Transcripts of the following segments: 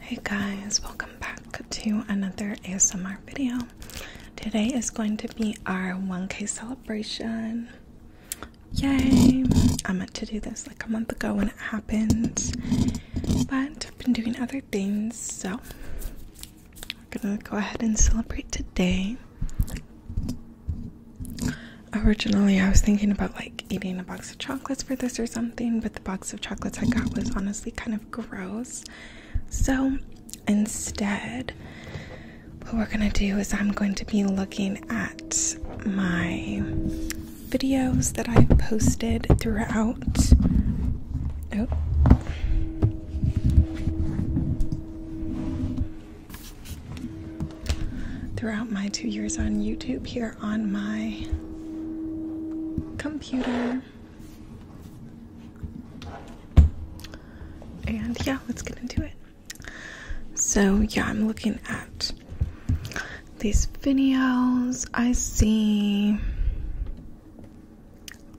Hey guys, welcome back to another ASMR video. Today is going to be our 1K celebration. Yay! I meant to do this like a month ago when it happened, but I've been doing other things, so I'm gonna go ahead and celebrate today. Originally, I was thinking about like eating a box of chocolates for this or something, but the box of chocolates I got was honestly kind of gross. So instead, what we're gonna do is I'm going to be looking at my videos that I've posted throughout. Oh. Throughout my two years on YouTube, here on my computer. And yeah, let's get into it. So, yeah, I'm looking at these videos. I see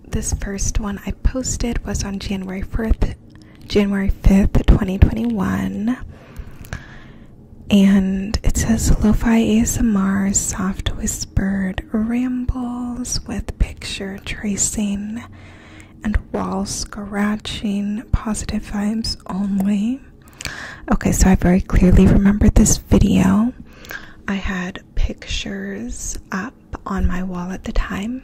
this first one I posted was on January 4th, January 5th, 2021. And it says lofi ASMR soft whispered rambles with picture tracing and wall scratching, positive vibes only. Okay, so I very clearly remember this video. I had pictures up on my wall at the time.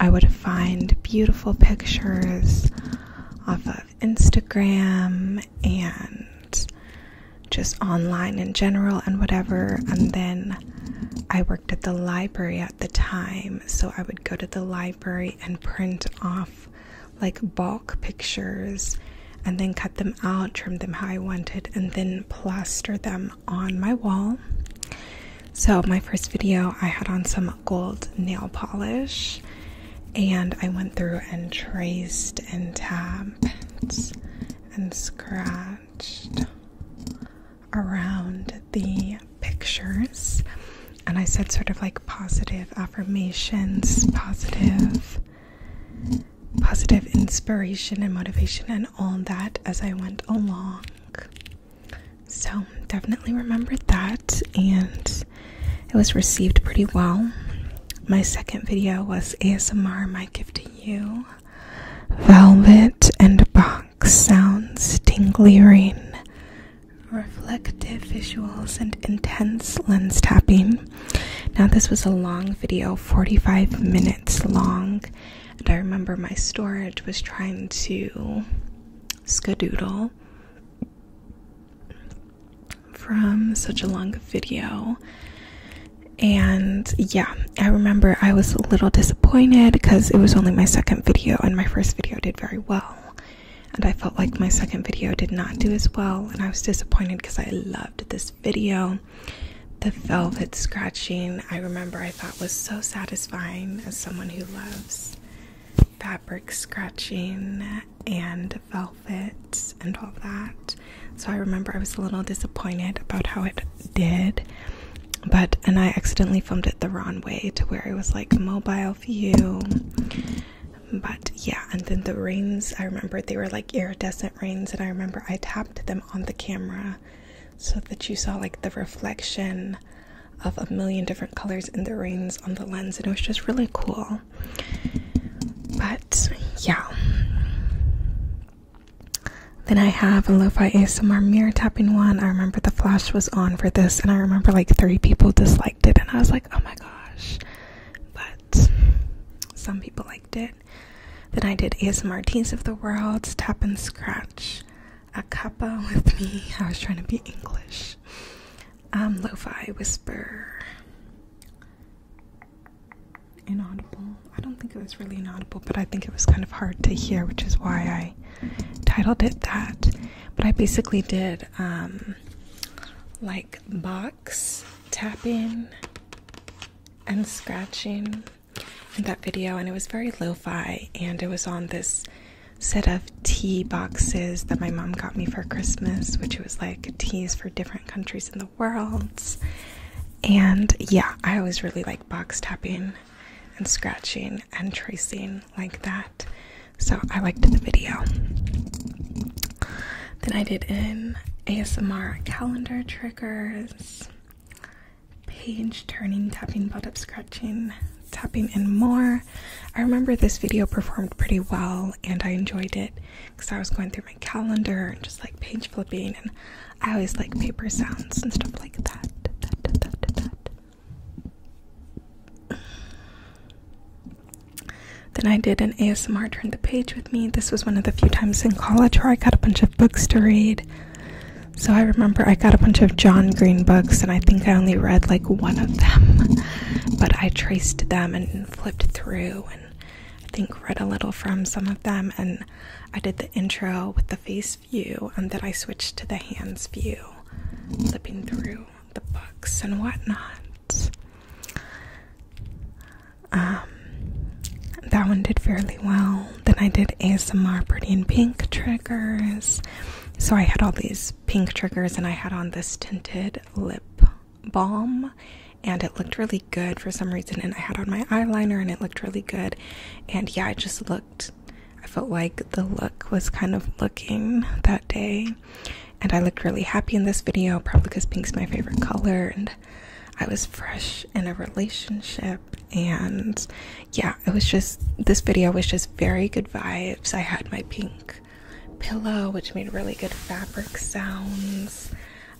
I would find beautiful pictures off of Instagram and just online in general and whatever. And then I worked at the library at the time, so I would go to the library and print off like bulk pictures and then cut them out, trim them how I wanted, and then plaster them on my wall. So, my first video I had on some gold nail polish, and I went through and traced and tapped and scratched around the pictures. And I said, sort of like positive affirmations, positive, positive inspiration and motivation, and all that as I went along. So definitely remember that. And it was received pretty well. My second video was ASMR My Gift to You Velvet and Box Sounds, Tingly ring, Reflective Visuals, and Intense Lens Tapping. Now, this was a long video, 45 minutes long, and I remember my storage was trying to skedoodle from such a long video. And yeah, I remember I was a little disappointed because it was only my second video, and my first video did very well. And I felt like my second video did not do as well, and I was disappointed because I loved this video. The velvet scratching, I remember I thought was so satisfying as someone who loves fabric scratching and velvet and all that. So I remember I was a little disappointed about how it did. But and I accidentally filmed it the wrong way to where it was like mobile view. But yeah, and then the rings, I remember they were like iridescent rings, and I remember I tapped them on the camera so that you saw like the reflection of a million different colors in the rings on the lens, and it was just really cool. But yeah. Then I have a lo-fi ASMR mirror tapping one. I remember the flash was on for this and I remember like three people disliked it and I was like, oh my gosh. But some people liked it. Then I did ASMR Teens of the World, Tap and Scratch, a kappa with me. I was trying to be English. Um, lo-fi whisper. Inaudible. I don't think it was really inaudible, but I think it was kind of hard to hear, which is why I titled it that. But I basically did um, like box tapping and scratching in that video, and it was very lo fi, and it was on this set of tea boxes that my mom got me for Christmas, which was like teas for different countries in the world. And yeah, I always really like box tapping and scratching and tracing like that. So I liked the video. Then I did an ASMR calendar triggers, page turning, tapping, butt up, scratching, tapping, and more. I remember this video performed pretty well and I enjoyed it because I was going through my calendar and just like page flipping and I always like paper sounds and stuff like that. Then I did an ASMR turn the page with me. This was one of the few times in college where I got a bunch of books to read. So I remember I got a bunch of John Green books and I think I only read like one of them. But I traced them and flipped through and I think read a little from some of them and I did the intro with the face view and then I switched to the hands view flipping through the books and whatnot. Um that one did fairly well. Then I did ASMR pretty in pink triggers. So I had all these pink triggers and I had on this tinted lip balm and it looked really good for some reason and I had on my eyeliner and it looked really good and yeah I just looked I felt like the look was kind of looking that day and I looked really happy in this video probably because pink's my favorite color and I was fresh in a relationship and yeah it was just this video was just very good vibes I had my pink pillow, which made really good fabric sounds.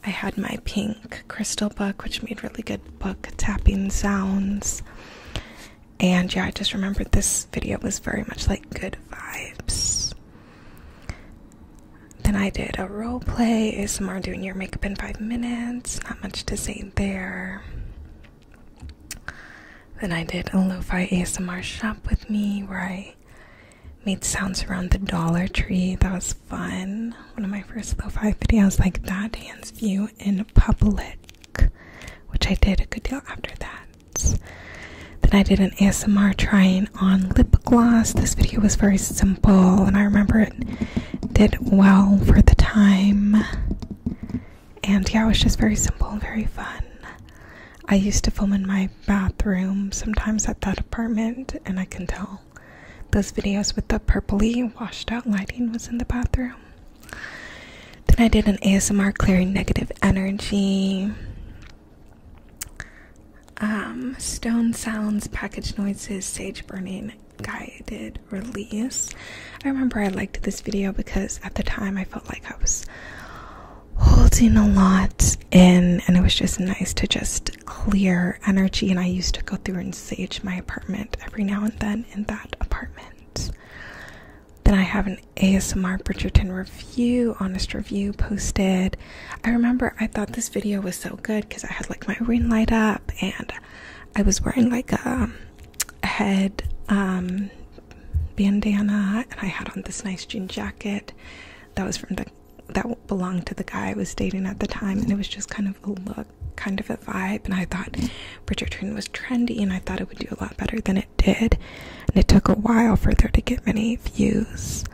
I had my pink crystal book, which made really good book tapping sounds. And yeah, I just remembered this video was very much like good vibes. Then I did a role play ASMR doing your makeup in five minutes. Not much to say there. Then I did a lo fi ASMR shop with me where I made sounds around the Dollar Tree. That was fun. One of my 1st low low-five videos like that, dance view in public, which I did a good deal after that. Then I did an ASMR trying on lip gloss. This video was very simple, and I remember it did well for the time. And yeah, it was just very simple and very fun. I used to film in my bathroom sometimes at that apartment, and I can tell those videos with the purpley washed out lighting was in the bathroom. Then I did an ASMR clearing negative energy, um, stone sounds, package noises, sage burning guided release. I remember I liked this video because at the time I felt like I was holding a lot in, and it was just nice to just clear energy. And I used to go through and sage my apartment every now and then in that apartment. Then I have an ASMR Bridgerton review, honest review posted. I remember I thought this video was so good because I had like my ring light up and I was wearing like a, head um, bandana and I had on this nice jean jacket that was from the that belonged to the guy I was dating at the time, and it was just kind of a look, kind of a vibe. And I thought Bridgerton was trendy, and I thought it would do a lot better than it did. And it took a while for there to get many views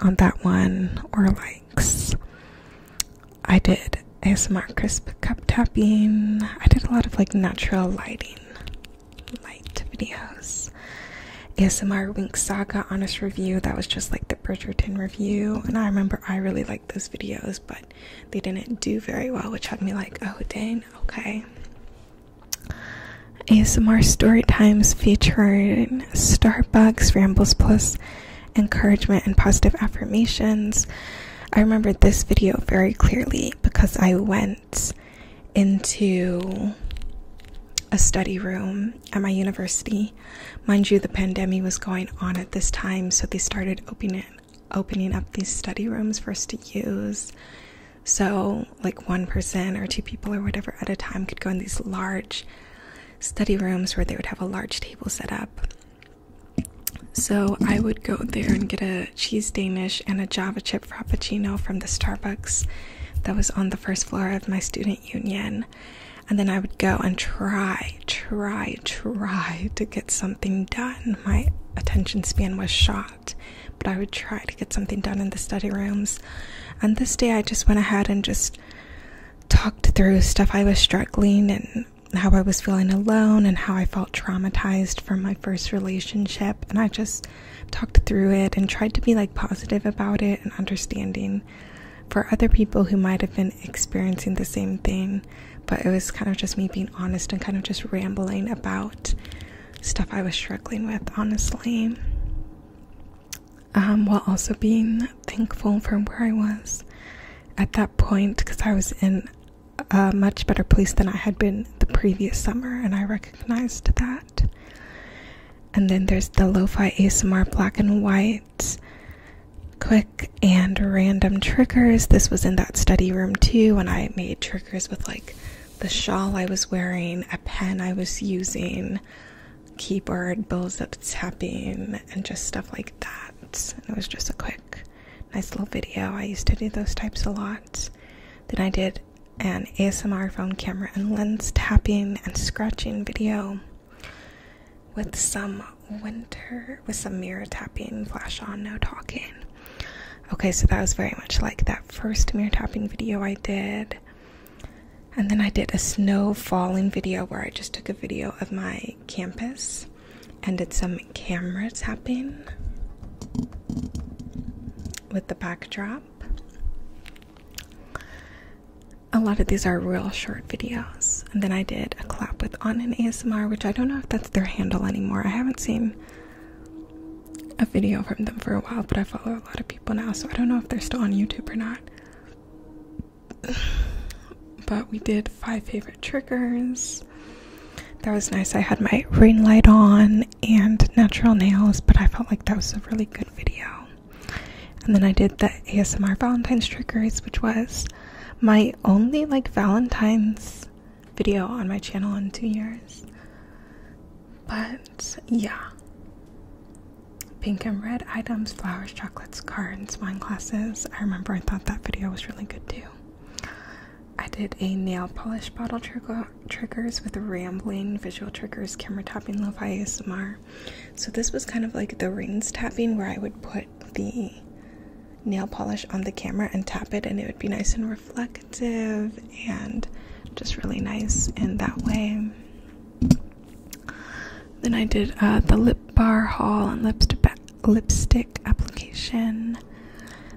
on that one or likes. I did ASMR crisp cup tapping. I did a lot of like natural lighting light videos. ASMR Wink Saga Honest Review, that was just like the Bridgerton review. And I remember I really liked those videos, but they didn't do very well, which had me like, oh dang, okay. ASMR story times featuring Starbucks, Rambles Plus, encouragement, and positive affirmations. I remembered this video very clearly because I went into a study room at my university. Mind you, the pandemic was going on at this time, so they started opening opening up these study rooms for us to use. So, like one person or two people or whatever at a time could go in these large study rooms where they would have a large table set up. So, I would go there and get a cheese Danish and a Java chip frappuccino from the Starbucks that was on the first floor of my student union. And then I would go and try, try, try to get something done. My attention span was shot, but I would try to get something done in the study rooms. And this day I just went ahead and just talked through stuff I was struggling and how I was feeling alone and how I felt traumatized from my first relationship. And I just talked through it and tried to be like positive about it and understanding for other people who might have been experiencing the same thing. But it was kind of just me being honest and kind of just rambling about stuff I was struggling with, honestly. Um, while also being thankful for where I was at that point because I was in a much better place than I had been the previous summer, and I recognized that. And then there's the Lo-Fi ASMR black and white quick and random triggers. This was in that study room too when I made triggers with like the shawl I was wearing, a pen I was using, keyboard bowls up tapping, and just stuff like that. it was just a quick, nice little video. I used to do those types a lot. Then I did an ASMR phone camera and lens tapping and scratching video with some winter, with some mirror tapping, flash on, no talking. Okay, so that was very much like that first mirror tapping video I did. And then I did a snow falling video where I just took a video of my campus and did some camera tapping with the backdrop a lot of these are real short videos. And then I did a collab with On and ASMR, which I don't know if that's their handle anymore. I haven't seen a video from them for a while, but I follow a lot of people now, so I don't know if they're still on YouTube or not. But we did five favorite triggers. That was nice. I had my ring light on and natural nails, but I felt like that was a really good video. And then I did the ASMR Valentine's triggers, which was my only like Valentine's video on my channel in two years. But yeah. Pink and red items, flowers, chocolates, cards, wine glasses. I remember I thought that video was really good too. I did a nail polish bottle trigger triggers with rambling, visual triggers, camera tapping, lo fi ASMR. So, this was kind of like the rings tapping where I would put the nail polish on the camera and tap it, and it would be nice and reflective and just really nice in that way. Then I did uh, the lip bar haul and lipstick application.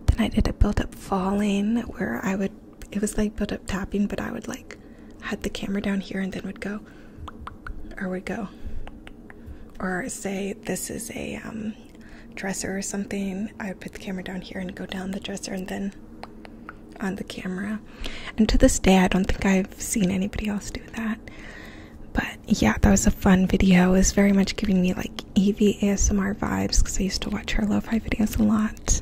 Then I did a build up falling where I would it was like built up tapping, but I would like had the camera down here and then would go or would go or say this is a um, dresser or something. I would put the camera down here and go down the dresser and then on the camera. And to this day, I don't think I've seen anybody else do that. But yeah, that was a fun video. It was very much giving me like Evie ASMR vibes because I used to watch her lo-fi videos a lot.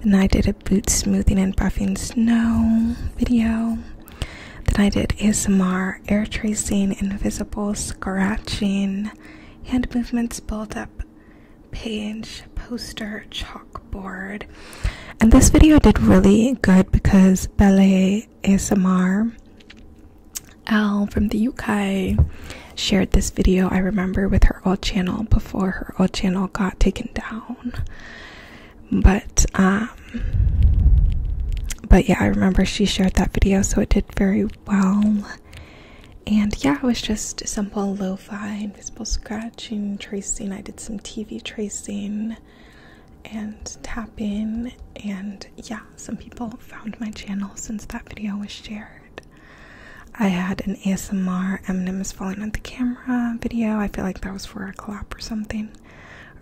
Then I did a boot smoothing and buffing snow video. Then I did ASMR, air tracing, invisible scratching, hand movements, build up, page, poster, chalkboard. And this video did really good because Ballet ASMR Al from the UK shared this video, I remember, with her old channel before her Old channel got taken down but um but yeah i remember she shared that video so it did very well and yeah it was just simple lo-fi invisible scratching tracing i did some tv tracing and tapping and yeah some people found my channel since that video was shared I had an ASMR m Eminem is falling on the camera video. I feel like that was for a collab or something.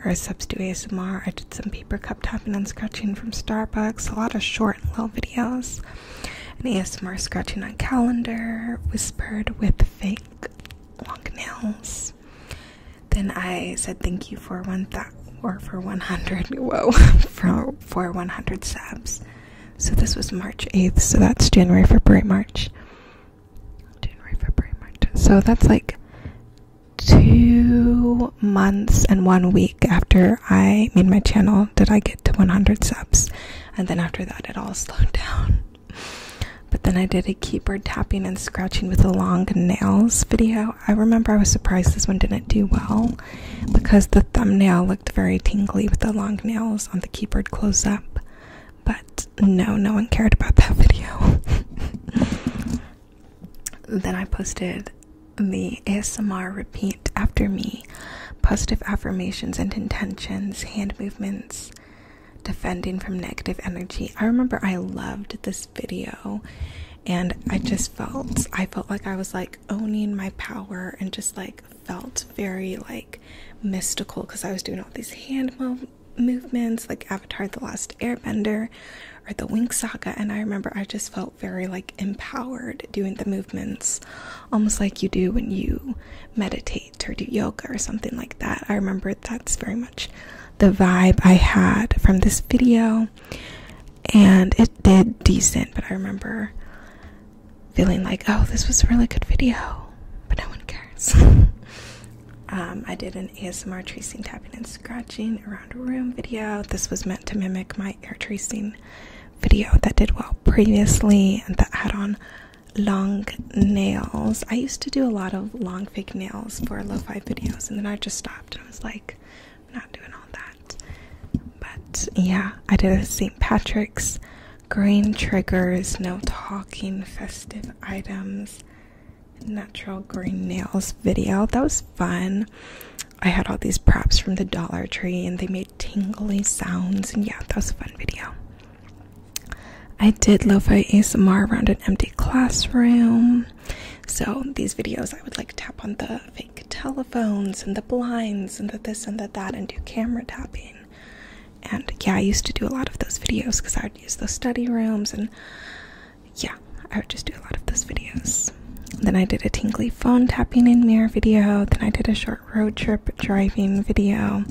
Or a substitute ASMR. I did some paper cup tapping and scratching from Starbucks. A lot of short and little videos. An ASMR scratching on calendar. Whispered with fake long nails. Then I said thank you for one that or for 100. Whoa, for for 100 subs. So this was March 8th, so that's January, February, March. January, February, March. So that's like two months and one week after I made my channel did I get to 100 subs. And then after that, it all slowed down. But then I did a keyboard tapping and scratching with the long nails video. I remember I was surprised this one didn't do well because the thumbnail looked very tingly with the long nails on the keyboard close up but no, no one cared about that video. then I posted the ASMR repeat after me positive affirmations and intentions, hand movements, defending from negative energy. I remember I loved this video and I just felt I felt like I was like owning my power and just like felt very like mystical because I was doing all these hand movements like Avatar The Last Airbender or the Wink Saga, and I remember I just felt very like empowered doing the movements, almost like you do when you meditate or do yoga or something like that. I remember that's very much the vibe I had from this video, and it did decent, but I remember feeling like, oh, this was a really good video, but no one cares. Um, I did an ASMR tracing, tapping, and scratching around a room video. This was meant to mimic my air tracing video that did well previously and that had on long nails. I used to do a lot of long fake nails for lo fi videos, and then I just stopped. I was like, I'm not doing all that. But yeah, I did a St. Patrick's green triggers, no talking, festive items, natural green nails video. That was fun. I had all these props from the Dollar Tree and they made tingly sounds. And yeah, that was a fun video. I did lo-fi ASMR around an empty classroom. So these videos, I would like tap on the fake telephones and the blinds and the this and the that and do camera tapping. And yeah, I used to do a lot of those videos because I would use those study rooms, and yeah, I would just do a lot of those videos. Then I did a tingly phone tapping in mirror video. Then I did a short road trip driving video.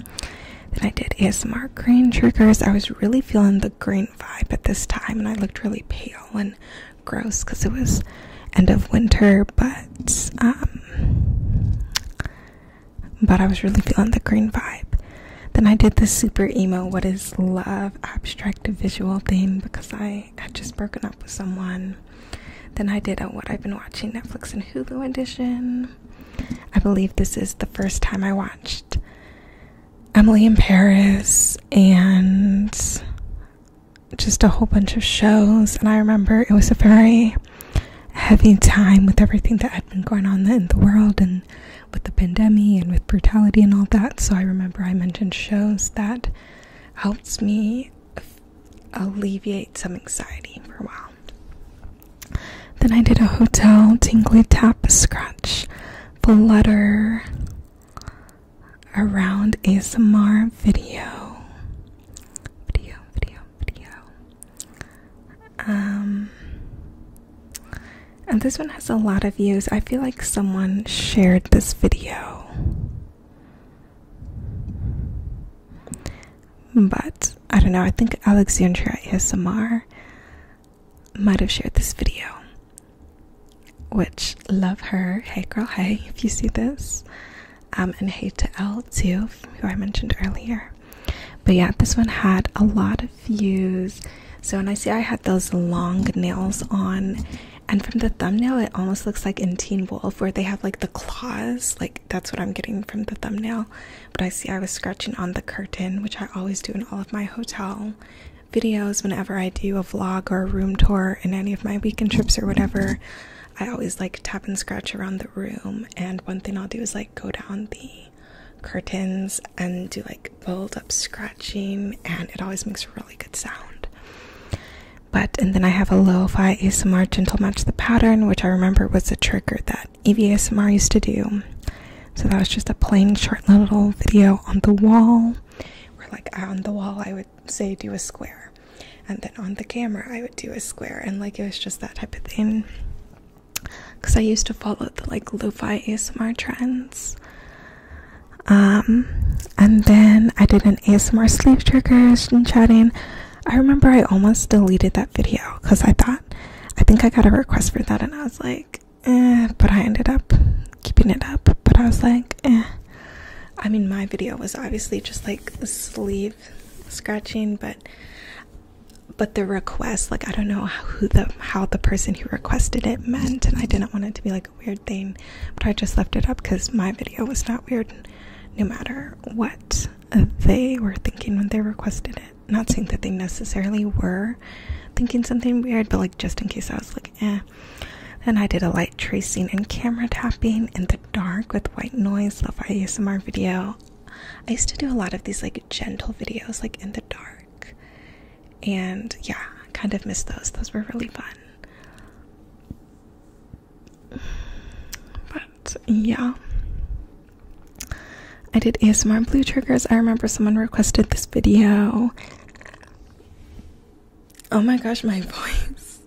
Then I did ASMR green triggers. I was really feeling the green vibe at this time, and I looked really pale and gross because it was end of winter. But um, but I was really feeling the green vibe. Then I did this super emo, what is love, abstract visual thing because I had just broken up with someone. Then I did a what I've been watching Netflix and Hulu edition. I believe this is the first time I watched Emily in Paris and just a whole bunch of shows. And I remember it was a very heavy time with everything that had been going on in the world and with the pandemic and with brutality and all that. So I remember I mentioned shows that helps me alleviate some anxiety for a while. Then I did a hotel tingly tap scratch flutter around ASMR video. Video, video video. Um, and this one has a lot of views. I feel like someone shared this video. But I don't know, I think Alexandra ASMR might have shared this video. Which love her. Hey girl, hey, if you see this. Um, and hey to L too, who I mentioned earlier. But yeah, this one had a lot of views. So when I see I had those long nails on, and from the thumbnail, it almost looks like in Teen Wolf where they have like the claws. Like that's what I'm getting from the thumbnail. But I see I was scratching on the curtain, which I always do in all of my hotel videos whenever I do a vlog or a room tour in any of my weekend trips or whatever. I always like tap and scratch around the room, and one thing I'll do is like go down the curtains and do like build up scratching, and it always makes a really good sound. But and then I have a lo fi ASMR gentle match the pattern, which I remember was a trigger that Evie ASMR used to do. So that was just a plain short little video on the wall where, like, on the wall, I would say do a square and then on the camera I would do a square and like it was just that type of thing because I used to follow the like lo-fi ASMR trends um and then I did an ASMR sleep triggers and chatting I remember I almost deleted that video because I thought I think I got a request for that and I was like eh, but I ended up keeping it up but I was like eh I mean my video was obviously just like sleeve scratching but but the request like i don't know who the how the person who requested it meant and i didn't want it to be like a weird thing but i just left it up because my video was not weird no matter what they were thinking when they requested it not saying that they necessarily were thinking something weird but like just in case i was like eh and i did a light tracing and camera tapping in the dark with white noise love asmr video I used to do a lot of these like gentle videos, like in the dark, and yeah, kind of miss those. Those were really fun. But yeah, I did ASMR blue triggers. I remember someone requested this video. Oh my gosh, my voice.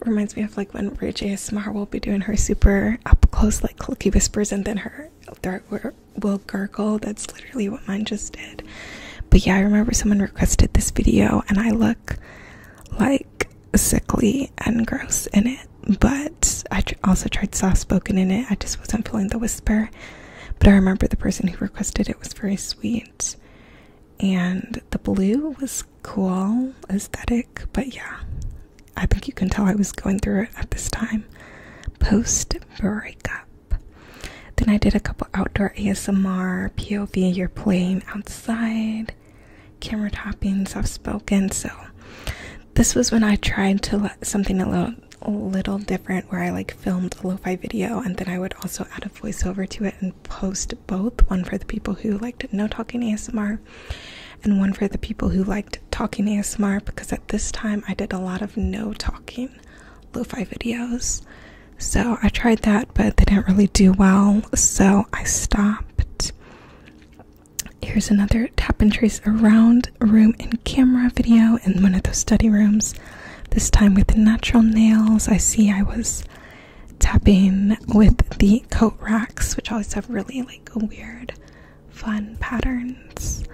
It reminds me of like when Rach ASMR will be doing her super up close, like clicky whispers, and then her throat will gurgle. That's literally what mine just did. But yeah, I remember someone requested this video, and I look like sickly and gross in it. But I also tried soft spoken in it. I just wasn't feeling the whisper. But I remember the person who requested it was very sweet. And the blue was cool aesthetic, but yeah, I think you can tell I was going through it at this time post breakup. Then I did a couple outdoor ASMR, POV, you're playing outside, camera toppings. I've spoken. So this was when I tried to something a little, a little different where I like filmed a lo-fi video and then I would also add a voiceover to it and post both, one for the people who liked no talking ASMR and one for the people who liked talking ASMR because at this time I did a lot of no talking lo fi videos. So I tried that, but they didn't really do well, so I stopped. Here's another tap and trace around room and camera video in one of those study rooms. This time with natural nails. I see I was tapping with the coat racks, which always have really like a weird fun patterns.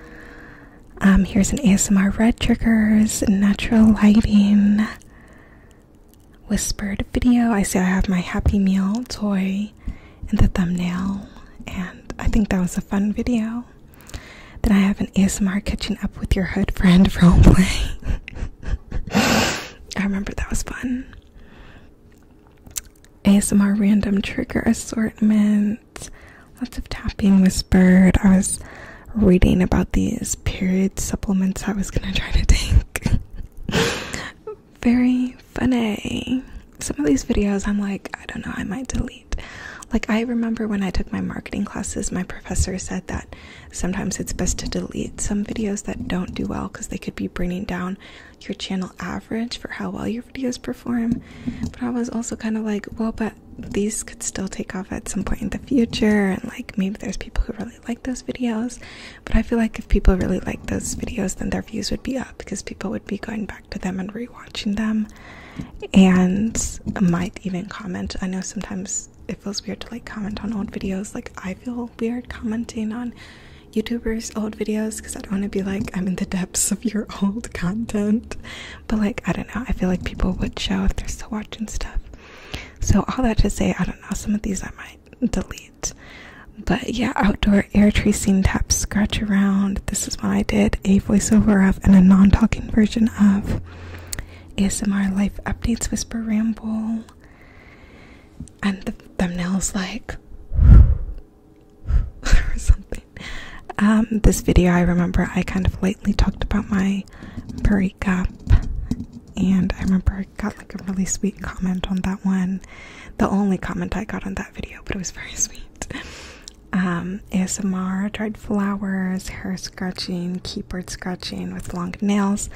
Um, here's an ASMR red triggers, natural lighting, whispered video. I see I have my Happy Meal toy in the thumbnail, and I think that was a fun video. Then I have an ASMR catching up with your hood friend roleplay. I remember that was fun. ASMR random trigger assortment. Lots of tapping whispered. I was reading about these period supplements I was gonna try to take. Very funny. Some of these videos I'm like, I don't know, I might delete. Like, I remember when I took my marketing classes, my professor said that sometimes it's best to delete some videos that don't do well because they could be bringing down your channel average for how well your videos perform. But I was also kind of like, well, but these could still take off at some point in the future, and like maybe there's people who really like those videos. But I feel like if people really like those videos, then their views would be up because people would be going back to them and rewatching them and might even comment. I know sometimes it feels weird to like comment on old videos, like I feel weird commenting on YouTubers' old videos because I don't want to be like I'm in the depths of your old content. But like I don't know, I feel like people would show if they're still watching stuff. So all that to say, I don't know. Some of these I might delete. But yeah, outdoor air tracing tap scratch around. This is what I did a voiceover of and a non-talking version of ASMR life updates whisper ramble. And the thumbnail's like or something. Um, this video, I remember I kind of lightly talked about my breakup, and I remember I got like a really sweet comment on that one. The only comment I got on that video, but it was very sweet. Um, ASMR, dried flowers, hair scratching, keyboard scratching with long nails.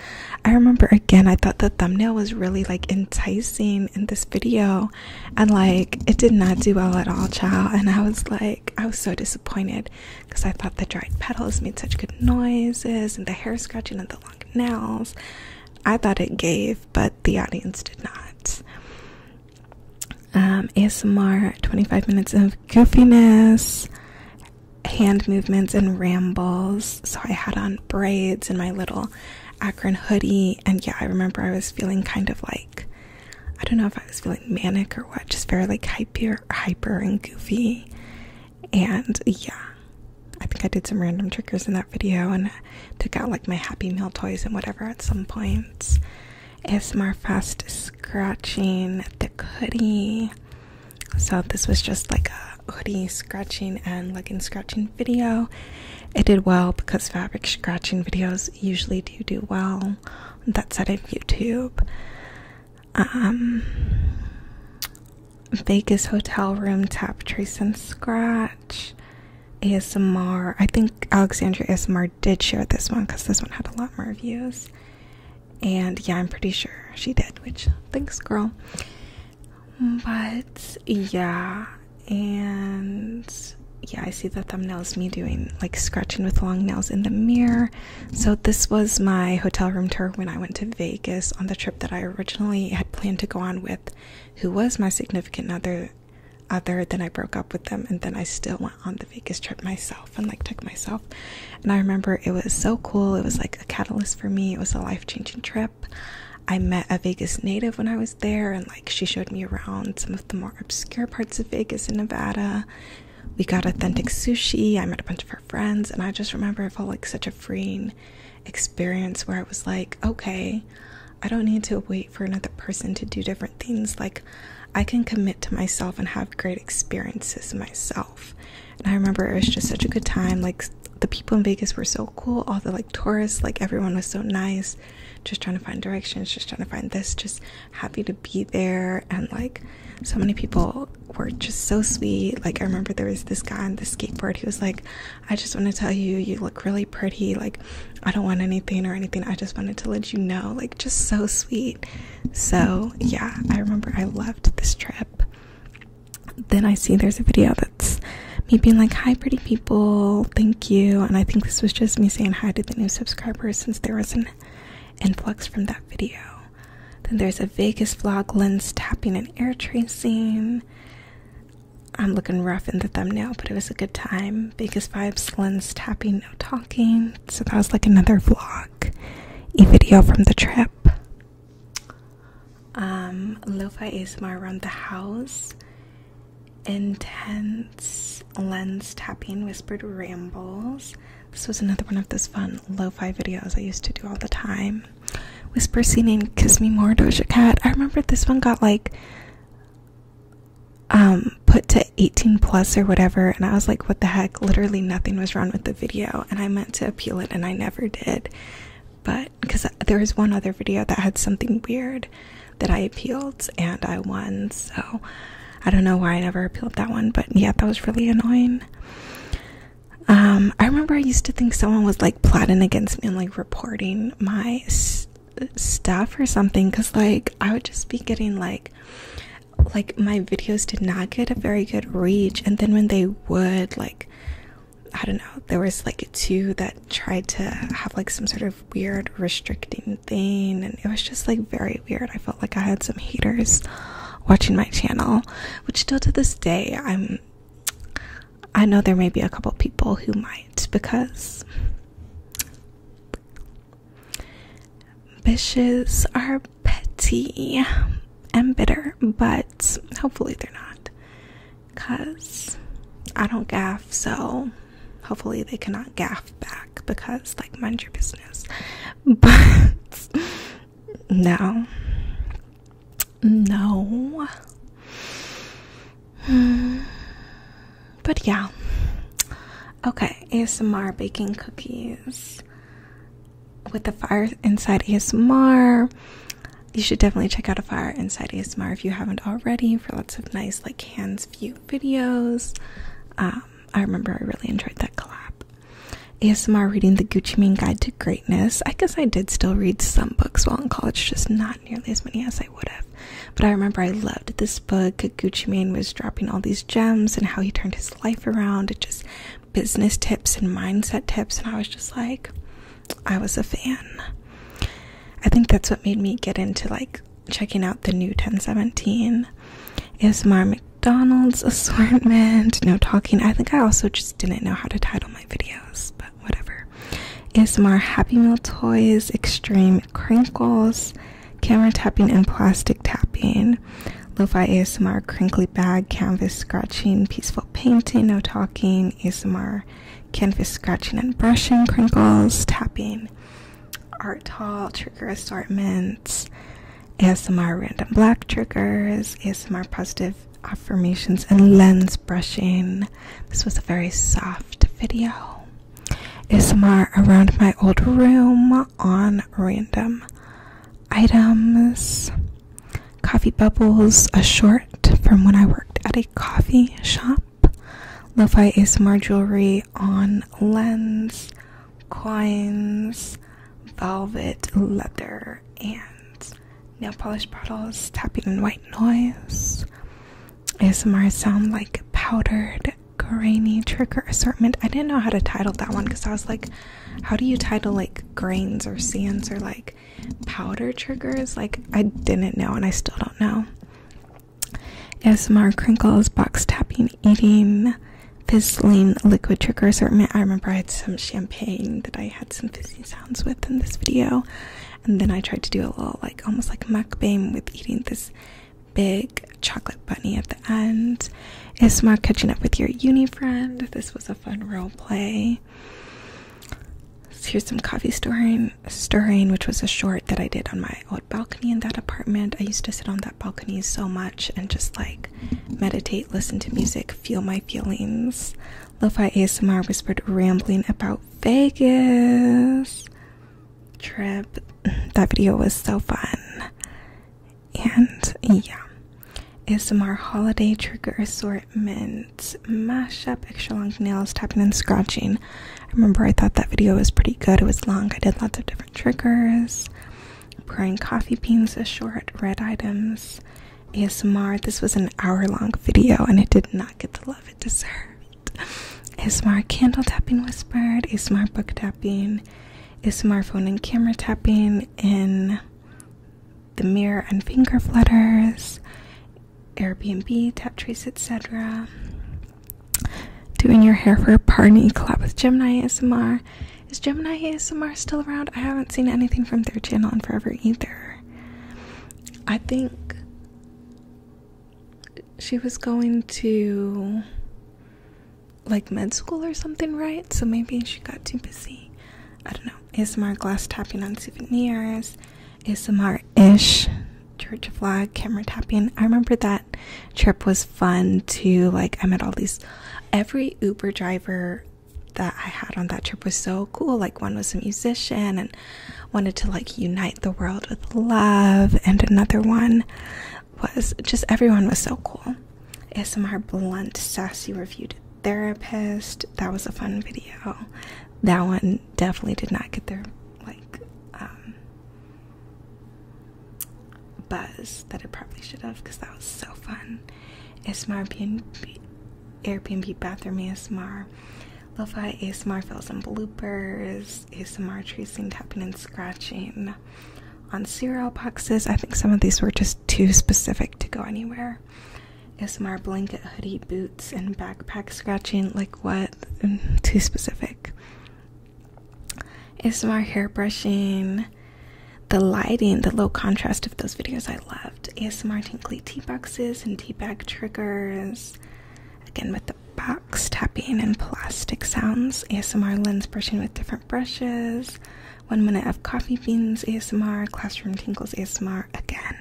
I remember again, I thought the thumbnail was really like enticing in this video, and like it did not do well at all child and i was like i was so disappointed because i thought the dried petals made such good noises and the hair scratching and the long nails i thought it gave but the audience did not um asmr 25 minutes of goofiness hand movements and rambles so i had on braids and my little Akron hoodie. And yeah, I remember I was feeling kind of like I don't know if I was feeling manic or what, just very like hyper, hyper and goofy. And yeah, I think I did some random triggers in that video and took out like my Happy Meal toys and whatever at some points. ASMR fast scratching the hoodie. So this was just like a hoodie scratching and legging scratching video. It did well because fabric scratching videos usually do do well that said, of YouTube. Um, Vegas hotel room tap trace and scratch. ASMR. I think Alexandra ASMR did share this one because this one had a lot more views. And yeah, I'm pretty sure she did, which thanks, girl. But yeah, and yeah, I see the thumbnails. me doing like scratching with long nails in the mirror. So, this was my hotel room tour when I went to Vegas on the trip that I originally had planned to go on with, who was my significant other. Other than I broke up with them, and then I still went on the Vegas trip myself and like took myself. And I remember it was so cool, it was like a catalyst for me, it was a life changing trip. I met a Vegas native when I was there, and like she showed me around some of the more obscure parts of Vegas and Nevada. We got authentic sushi. I met a bunch of her friends, and I just remember it felt like such a freeing experience where I was like, okay, I don't need to wait for another person to do different things. Like, I can commit to myself and have great experiences myself. And I remember it was just such a good time. Like, the people in Vegas were so cool. All the like Tourists like everyone was so nice, just trying to find directions, just trying to find this, just happy to be there. And like so many people were just so sweet. Like I remember there was this guy on the skateboard who was like, I just want to tell you, you look really pretty. Like I don't want anything or anything. I just wanted to let you know. Like just so sweet. So yeah, I remember I loved this trip. Then I see there's a video that's me being like, Hi, pretty people, thank you. And I think this was just me saying hi to the new subscribers since there was an influx from that video. Then there's a Vegas vlog lens tapping and air tracing. I'm looking rough in the thumbnail, but it was a good time. Vegas vibes, lens tapping, no talking. So that was like another vlog, a video from the trip. Um, lo-fi around the house, intense lens tapping, whispered rambles. This was another one of those fun lo-fi videos I used to do all the time. Whisper singing, "Kiss Me More," Doja Cat. I remember this one got like um put to 18 plus or whatever, and I was like, "What the heck?" Literally nothing was wrong with the video, and I meant to appeal it, and I never did but because there was one other video that had something weird that I appealed and I won, so I don't know why I never appealed that one, but yeah, that was really annoying. Um, I remember I used to think someone was like plotting against me and like reporting my stuff or something because like I would just be getting like like my videos did not get a very good reach and then when they would like I don't know, there was like two that tried to have like some sort of weird restricting thing, and it was just like very weird. I felt like I had some haters watching my channel, which still to this day, I'm I know there may be a couple people who might because bitches are petty and bitter, but hopefully they're not because I don't gaff, so hopefully they cannot gaff back because, like, mind your business. But no, no. Hmm. But yeah, okay, ASMR baking cookies with the fire inside ASMR you should definitely check out a fire inside asmr if you haven't already for lots of nice like hands view videos um, i remember i really enjoyed that collab asmr reading the gucci mane guide to greatness i guess i did still read some books while in college just not nearly as many as i would have but i remember i loved this book gucci mane was dropping all these gems and how he turned his life around it just business tips and mindset tips and i was just like I was a fan. I think that's what made me get into like checking out the new 1017 is my McDonald's assortment. No talking. I think I also just didn't know how to title my videos, but whatever. ASMR Happy Meal Toys, Extreme Crinkles, Camera Tapping and Plastic Tapping, lofi fi ASMR Crinkly Bag, Canvas Scratching, Peaceful Painting, No Talking, ASMR canvas scratching and brushing, crinkles, tapping, art tall trigger assortments, ASMR random black triggers, ASMR positive affirmations, and lens brushing. This was a very soft video. ASMR around my old room on random items. Coffee bubbles, a short from when I worked at a coffee shop up. Lo-fi ASMR jewelry on lens, coins, velvet, leather, and nail polish bottles, tapping in white noise. ASMR sound like powdered grainy trick or assortment. I didn't know how to title that one because I was like, how do you title like grains or sands or like powder triggers. Like I didn't know and I still don't know. ASMR crinkles, box tapping, eating, fizzling, liquid trigger assortment. I remember I had some champagne that I had some fizzy sounds with in this video. And then I tried to do a little like almost like mukbang with eating this big chocolate bunny at the end. ASMR catching up with your uni friend. This was a fun role play. Here's some coffee stirring, stirring, which was a short that I did on my old balcony in that apartment. I used to sit on that balcony so much and just like meditate, listen to music, feel my feelings. Lo-fi ASMR whispered rambling about Vegas trip. That video was so fun. And yeah, ASMR holiday trigger assortment and mash up extra long nails, tapping and scratching. I remember I thought that video was pretty good. It was long. I did lots of different triggers, pouring coffee beans, a short, red items, ASMR. This was an hour long video and it did not get the love it deserved. ASMR candle tapping whispered, ASMR book tapping, ASMR phone and camera tapping in the mirror and finger flutters, Airbnb, Taptrace, etc. Doing your hair for a party collab with Gemini ASMR. Is Gemini ASMR still around? I haven't seen anything from their channel in forever either. I think she was going to like med school or something, right? So maybe she got too busy. I don't know. ASMR glass tapping on souvenirs. ASMR-ish church vlog camera tapping. I remember that trip was fun too. Like I met all these every Uber driver that I had on that trip was so cool. Like one was a musician and wanted to like unite the world with love and another one was just everyone was so cool. ASMR blunt sassy reviewed therapist. That was a fun video. That one definitely did not get their like um, buzz that it probably should have because that was so fun. ASMR Airbnb, Airbnb bathroom ASMR, lo-fi ASMR fills and bloopers, ASMR tracing, tapping and scratching. On cereal boxes, I think some of these were just too specific to go anywhere. Ismar blanket, hoodie, boots, and backpack scratching. Like what? Mm, too specific. Ismar hair brushing. The lighting, the low contrast of those videos I loved. ASMR tinkly tea boxes and tea bag triggers. Again with the box tapping and plastic sounds. ASMR lens brushing with different brushes. One minute of coffee beans ASMR. Classroom tinkles ASMR again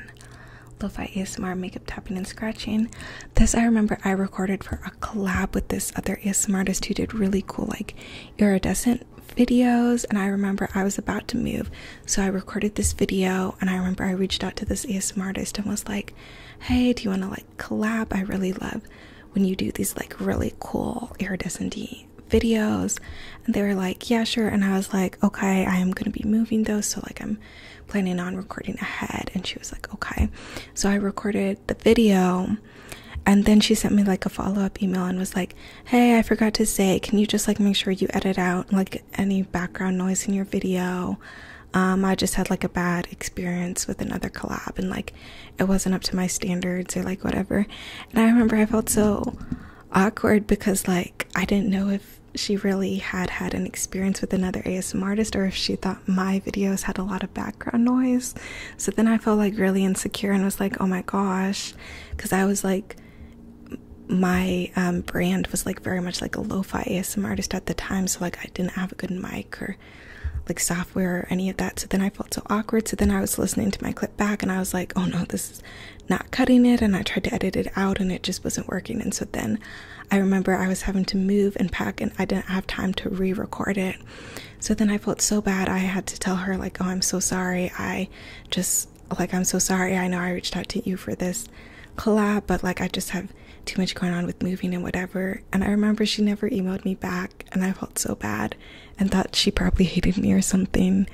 lo-fi ASMR makeup tapping and scratching. This I remember I recorded for a collab with this other ASMR artist who did really cool like iridescent videos and I remember I was about to move so I recorded this video and I remember I reached out to this ASMR artist and was like hey do you want to like collab I really love when you do these like really cool iridescent videos and they were like yeah sure and I was like okay I am gonna be moving though, so like I'm planning on recording ahead and she was like okay so i recorded the video and then she sent me like a follow-up email and was like hey i forgot to say can you just like make sure you edit out like any background noise in your video um i just had like a bad experience with another collab and like it wasn't up to my standards or like whatever and i remember i felt so awkward because like I didn't know if she really had had an experience with another ASM artist or if she thought my videos had a lot of background noise. So then I felt like really insecure and was like, oh my gosh, because I was like, my um, brand was like very much like a lo-fi ASM artist at the time, so like I didn't have a good mic or like software or any of that. So then I felt so awkward. So then I was listening to my clip back and I was like, oh no, this is not cutting it. And I tried to edit it out and it just wasn't working. And so then I remember I was having to move and pack, and I didn't have time to re record it. So then I felt so bad. I had to tell her, like, oh, I'm so sorry. I just, like, I'm so sorry. I know I reached out to you for this collab, but like, I just have too much going on with moving and whatever. And I remember she never emailed me back, and I felt so bad and thought she probably hated me or something.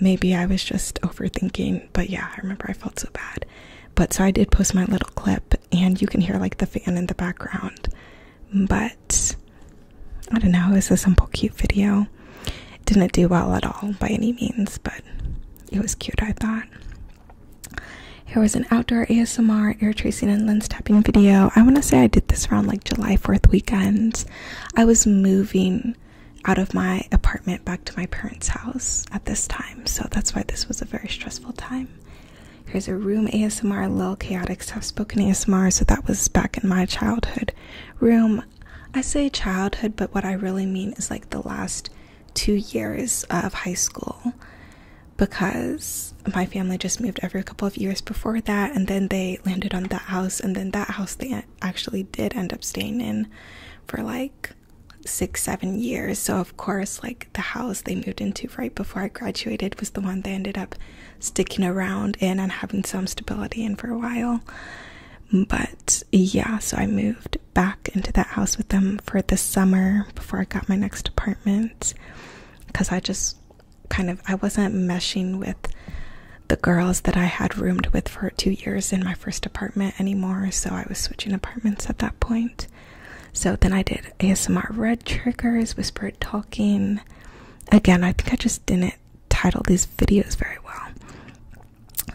Maybe I was just overthinking, but yeah, I remember I felt so bad. But so I did post my little clip, and you can hear like the fan in the background. But I don't know, it was a simple, cute video. It didn't do well at all by any means, but it was cute, I thought. Here was an outdoor ASMR air tracing and lens tapping video. I want to say I did this around like July 4th weekend. I was moving out of my apartment back to my parents' house at this time so that's why this was a very stressful time. Here's a room ASMR, little Chaotic Soft Spoken ASMR, so that was back in my childhood room. I say childhood, but what I really mean is like the last two years of high school because my family just moved every couple of years before that, and then they landed on that house, and then that house they actually did end up staying in for like six, seven years. So, of course, like the house they moved into right before I graduated was the one they ended up sticking around in and having some stability in for a while. But yeah, so I moved back into that house with them for the summer before I got my next apartment because I just kind of I wasn't meshing with the girls that I had roomed with for two years in my first apartment anymore, so I was switching apartments at that point. So then I did ASMR red triggers, whispered talking. Again, I think I just didn't title these videos very well.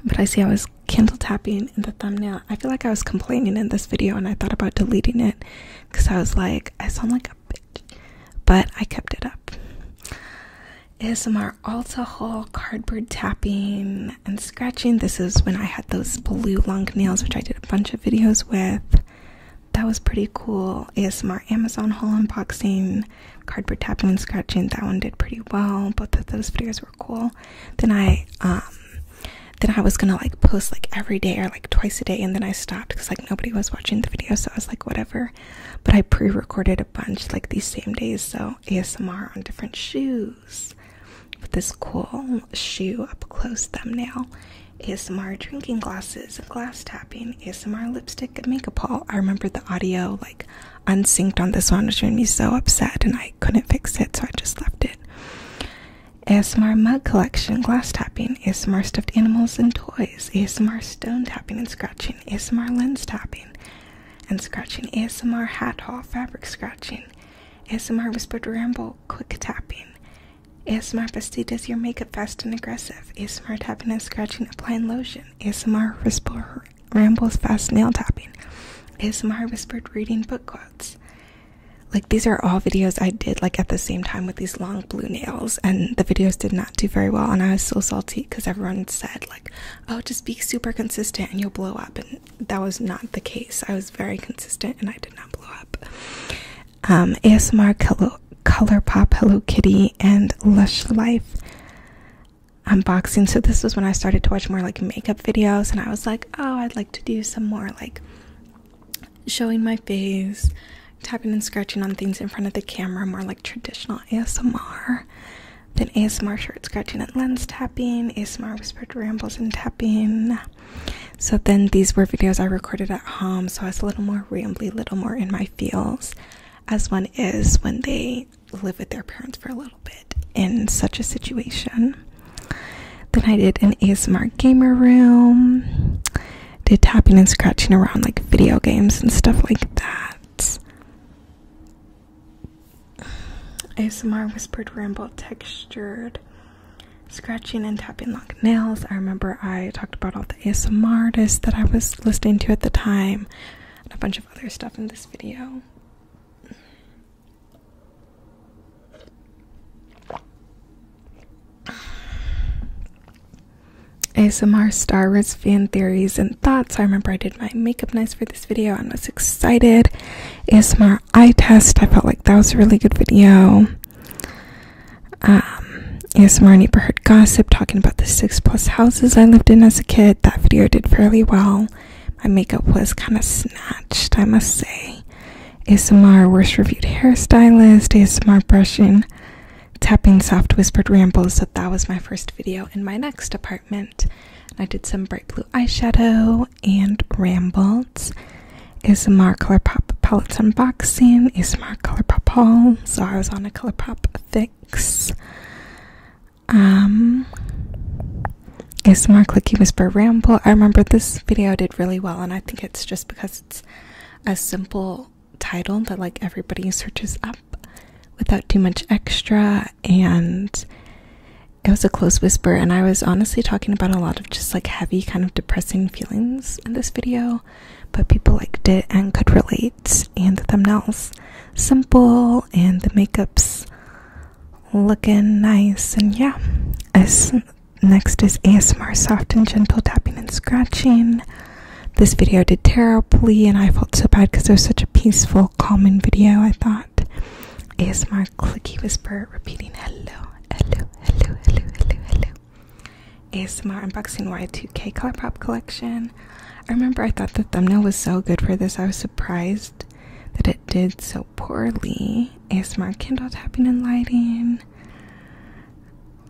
But I see I was Kindle tapping in the thumbnail. I feel like I was complaining in this video and I thought about deleting it because I was like, I sound like a bitch. But I kept it up. ASMR alcohol, cardboard tapping, and scratching. This is when I had those blue long nails, which I did a bunch of videos with. That was pretty cool. ASMR Amazon haul unboxing, cardboard tapping and scratching. That one did pretty well. Both of those videos were cool. Then I, um, then I was gonna like post like every day or like twice a day, and then I stopped because like nobody was watching the video, so I was like whatever. But I pre-recorded a bunch like these same days, so ASMR on different shoes with this cool shoe up close thumbnail. ASMR drinking glasses, glass tapping, ASMR lipstick and makeup haul. I remember the audio like unsynced on this one, which made me so upset and I couldn't fix it, so I just left it. ASMR mug collection, glass tapping, ASMR stuffed animals and toys, ASMR stone tapping and scratching, ASMR lens tapping and scratching, ASMR hat haul, fabric scratching, ASMR whispered ramble, quick tapping. ASMR Bestie does your makeup fast and aggressive. ASMR tapping and scratching, applying lotion. ASMR whispered rambles fast nail tapping. ASMR whispered reading book quotes. Like these are all videos I did like at the same time with these long blue nails and the videos did not do very well and I was so salty because everyone said like, oh just be super consistent and you'll blow up and that was not the case. I was very consistent and I did not blow up. Um, ASMR, Color, pop Hello Kitty, and Lush Life unboxing. So this was when I started to watch more like makeup videos, and I was like, oh, I'd like to do some more like showing my face, tapping and scratching on things in front of the camera, more like traditional ASMR than ASMR short scratching at lens tapping tapping, ASMR whispered rambles and tapping. So then these were videos I recorded at home, so I was a little more rambly, little more in my feels, as one is when they live with their parents for a little bit in such a situation. Then I did an ASMR gamer room, did tapping and scratching around like video games and stuff like that. ASMR whispered ramble textured scratching and tapping like nails. I remember I talked about all the ASMR artists that I was listening to at the time and a bunch of other stuff in this video. ASMR star Wars fan theories and thoughts. I remember I did my makeup nice for this video I was excited. ASMR I test. I felt like that was a really good video. Um, ASMR neighborhood gossip, talking about the six plus houses I lived in as a kid. That video did fairly well. My makeup was kind of snatched, I must say. ASMR worst reviewed hairstylist, ASMR brushing, tapping soft whispered rambles. So that was my first video in my next apartment. I did some bright blue eyeshadow and rambles. Is rambled. Color Pop palettes unboxing, Is Color Pop haul. So I was on a Color Pop fix. Um, ASMR Clicky Whisper Ramble. I remember this video did really well, and I think it's just because it's a simple title that like everybody searches up without too much extra, and it was a close whisper, and I was honestly talking about a lot of just like heavy, kind of depressing feelings in this video, but people liked it and could relate. And the thumbnails simple, and the makeup's looking nice, and yeah. As next is ASMR soft and gentle tapping and scratching. This video did terribly, and I felt so bad because it was such a peaceful, calming video. I thought ASMR clicky whisper repeating hello, hello, hello, hello, hello, hello. ASMR unboxing Y2K color pop collection. I remember I thought the thumbnail was so good for this. I was surprised that it did so poorly. ASMR Kindle tapping and lighting.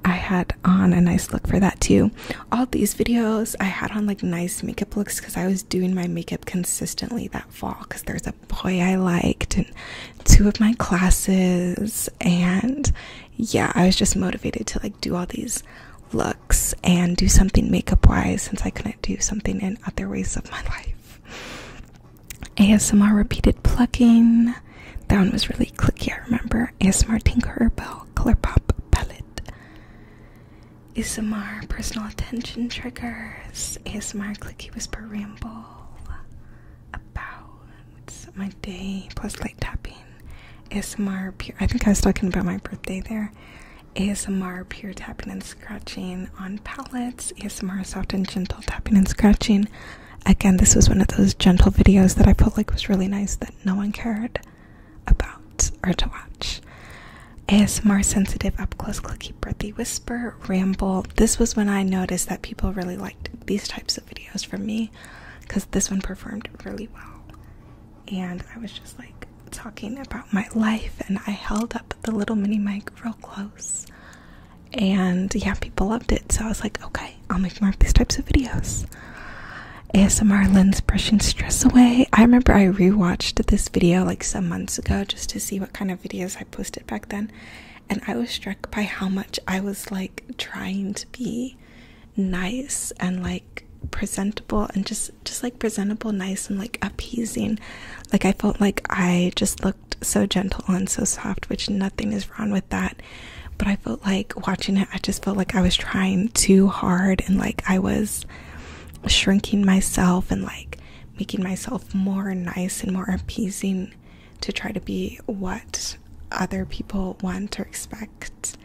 I had on a nice look for that too. All these videos I had on like nice makeup looks because I was doing my makeup consistently that fall because there's a boy I liked and two of my classes and yeah, I was just motivated to like do all these looks and do something makeup wise since I couldn't do something in other ways of my life. ASMR repeated plucking. That one was really clicky, I remember. ASMR Tinkerbell Pop palette. ASMR personal attention triggers, ASMR clicky whisper ramble about my day, plus light tapping, ASMR pure. I think I was talking about my birthday there. ASMR pure tapping and scratching on palettes, ASMR soft and gentle tapping and scratching. Again, this was one of those gentle videos that I felt like was really nice that no one cared about or to watch. ASMR sensitive, up close, clicky, breathy whisper, ramble. This was when I noticed that people really liked these types of videos from me because this one performed really well. And I was just like talking about my life, and I held up the little mini mic real close. And yeah, people loved it. So I was like, okay, I'll make more of these types of videos. ASMR lens brushing stress away. I remember I rewatched this video like some months ago just to see what kind of videos posted back then. And I was struck by how much I was like trying to be nice and like presentable and just just like presentable nice and like appeasing like i felt like i just looked so gentle and so soft which nothing is wrong with that but i felt like watching it i just felt like i was trying too hard and like i was shrinking myself and like making myself more nice and more appeasing to try to be what other people want or expect.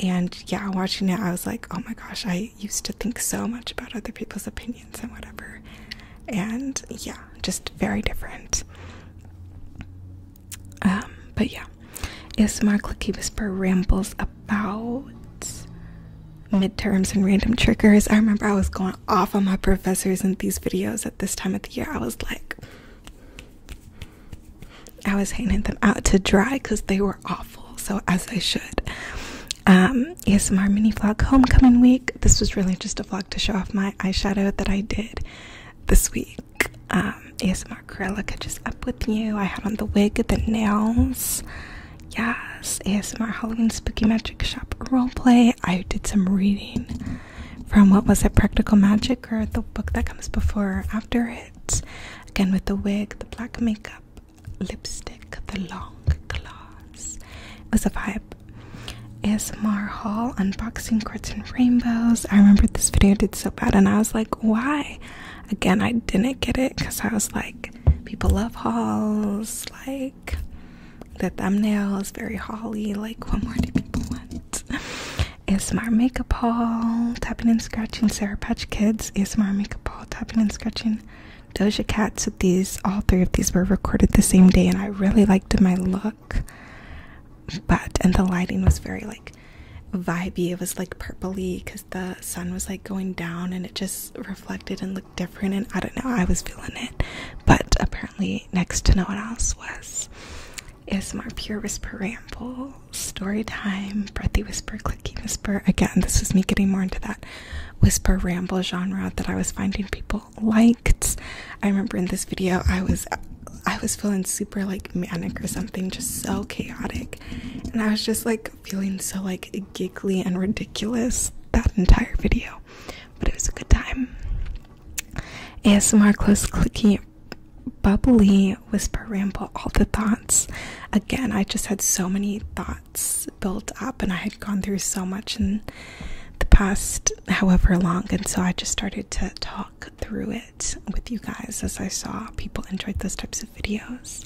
And yeah, watching it, I was like, oh my gosh, I used to think so much about other people's opinions and whatever. And yeah, just very different. Um, but yeah, ASMR Clicky Whisper rambles about midterms and random triggers. I remember I was going off on my professors in these videos at this time of the year. I was like, I was hanging them out to dry because they were awful. So as I should. Um, my mini vlog homecoming week. This was really just a vlog to show off my eyeshadow that I did this week. Um, ASMR acrylic. I up with you. I had on the wig, the nails. Yes, ASMR Halloween Spooky Magic Shop role play. I did some reading from what was it, Practical Magic, or the book that comes before after it. Again, with the wig, the black makeup, lipstick, the long gloss. It was a vibe. ASMR haul unboxing cards and rainbows. I remember this video did so bad, and I was like, why? Again, I didn't get it because I was like, people love hauls, like the thumbnail is very holly, like what more do people want? ASMR makeup haul, tapping and scratching Sarah Patch Kids, my makeup haul, tapping and scratching Doja Cats. So these, all three of these were recorded the same day and I really liked my look. But, and the lighting was very like vibey. It was like purpley because the sun was like going down and it just reflected in the different and I don't know, I was feeling it. But apparently next to no one else was ASMR Pure Whisper Ramble, Story Time, Breathy Whisper, Clicky Whisper. Again, this was me getting more into that whisper ramble genre that I was finding people liked. I remember in this video I was I was feeling super like manic or something, just so chaotic. And I was just like feeling so like giggly and ridiculous that entire video but it was a good time. ASMR close clicky bubbly whisper ramble all the thoughts. Again, I just had so many thoughts built up and I had gone through so much in the past however long and so I just started to talk through it with you guys as I saw people enjoyed those types of videos.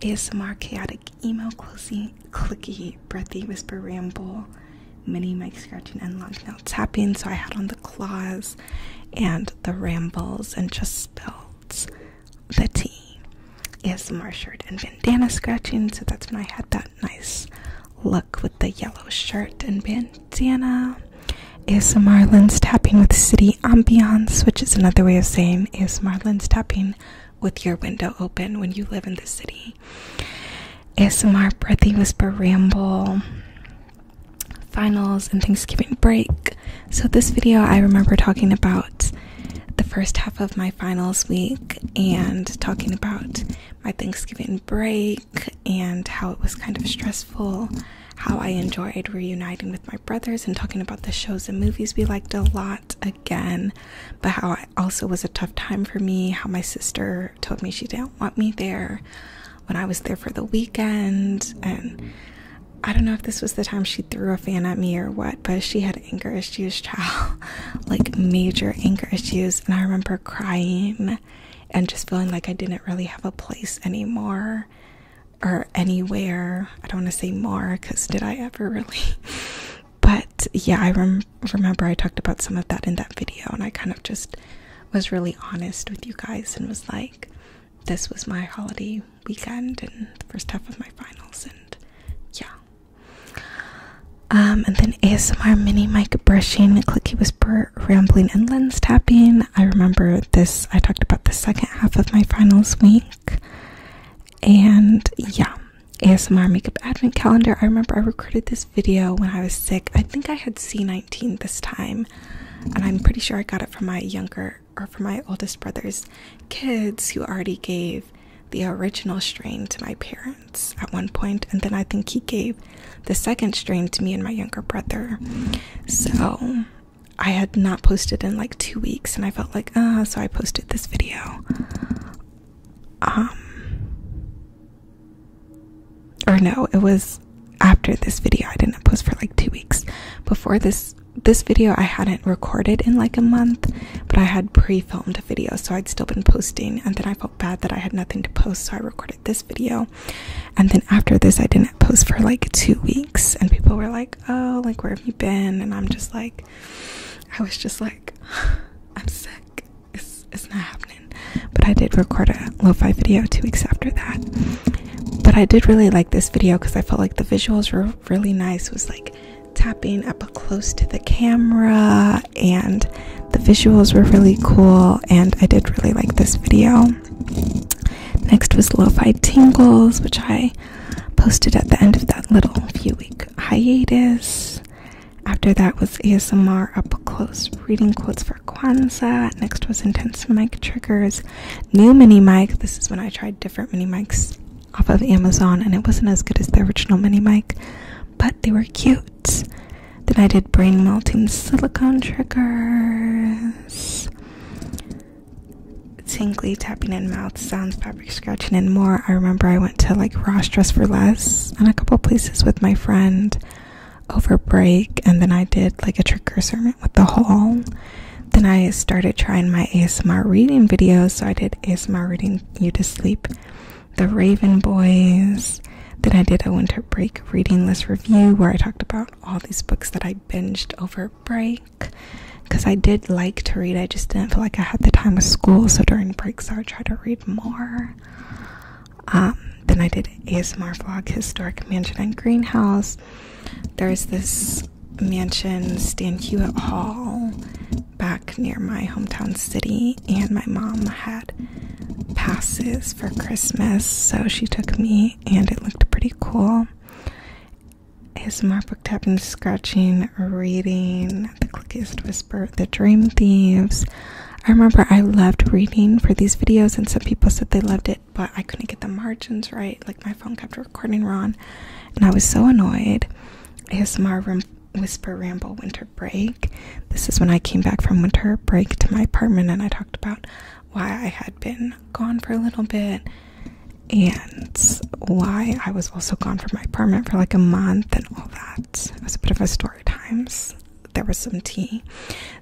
ASMR chaotic email closing clicky, breathy whisper ramble, mini mic scratching and long nail tapping. So I had on the claws and the rambles and just spelled the T. ASMR shirt and bandana scratching. So that's when I had that nice look with the yellow shirt and bandana. Is Marlin's tapping with city ambiance, which is another way of saying is Marlin's tapping with your window open when you live in the city. S.M.R. breathy whisper ramble, finals, and Thanksgiving break. So, this video, I remember talking about the first half of my finals week and talking about my Thanksgiving break and how it was kind of stressful, how I enjoyed reuniting with my brothers and talking about the shows and movies we liked a lot again, but how I also was a tough time for me how my sister told me she didn't want me there when I was there for the weekend and I don't know if this was the time she threw a fan at me or what, but she had anger issues, child, like major anger issues. And I remember crying and just feeling like I didn't really have a place anymore or anywhere. I don't want to say more because did I ever really? But yeah, I remember I talked about some of that in that video, and I kind of just was really honest with you guys and was like, this was my holiday weekend and the first half of my finals, and yeah. Um, and then ASMR mini mic brushing, clicky whisper, rambling, and lens tapping. I remember this, I talked about the second half of my finals week and yeah asmr makeup advent calendar i remember i recorded this video when i was sick i think i had c19 this time and i'm pretty sure i got it from my younger or from my oldest brother's kids who already gave the original strain to my parents at one point and then i think he gave the second strain to me and my younger brother so i had not posted in like two weeks and i felt like ah so i posted this video um or no it was after this video i didn't post for like two weeks before this this video i hadn't recorded in like a month but i had pre-filmed a video so i'd still been posting and then i felt bad that i had nothing to post so i recorded this video and then after this i didn't post for like two weeks and people were like oh like where have you been and i'm just like i was just like I'm sick. It's it's not happening. But I did record a lo-fi video two weeks after that. But I did really like this video because I felt like the visuals were really nice. was like tapping up close to the camera and the visuals were really cool and I did really like this video. Next was Lo-Fi Tingles, which I posted at the end of that little few week hiatus. After that was ASMR up close, reading quotes for Kwanzaa. Next was intense mic triggers, new mini mic. This is when I tried different mini mics off of Amazon, and it wasn't as good as the original mini mic, but they were cute. Then I did brain melting silicone triggers, tinkly tapping in mouth sounds by fabric scratching in more. I remember I went to like Ross Dress for Less and a couple places with my friend over break, and then I did like a trick or sermon with the haul. Then I started trying my ASMR reading videos, so I did ASMR reading You to Sleep, The Raven Boys. Then I did a winter break reading list review where I talked about all these books that I binged over break because I did like to read, I just didn't feel like I had the time with school. So during breaks, I would try to read more. Um, then I did ASMR vlog, historic mansion and greenhouse. There's this mansion, Stan Hewitt Hall, back near my hometown city, and my mom had passes for Christmas, so she took me, and it looked pretty cool. ASMR book tapping, scratching reading The Clickiest Whisper, The Dream Thieves. I remember I loved reading for these videos, and some people said they loved it, but I couldn't get the margins right. Like, my phone kept recording wrong, and I was so annoyed. ASMR Ram Whisper Ramble Winter Break. This is when I came back from winter break to my apartment, and I talked about why I had been gone for a little bit and why I was also gone from my apartment for like a month and that. It was a bit of a story times. There was some tea.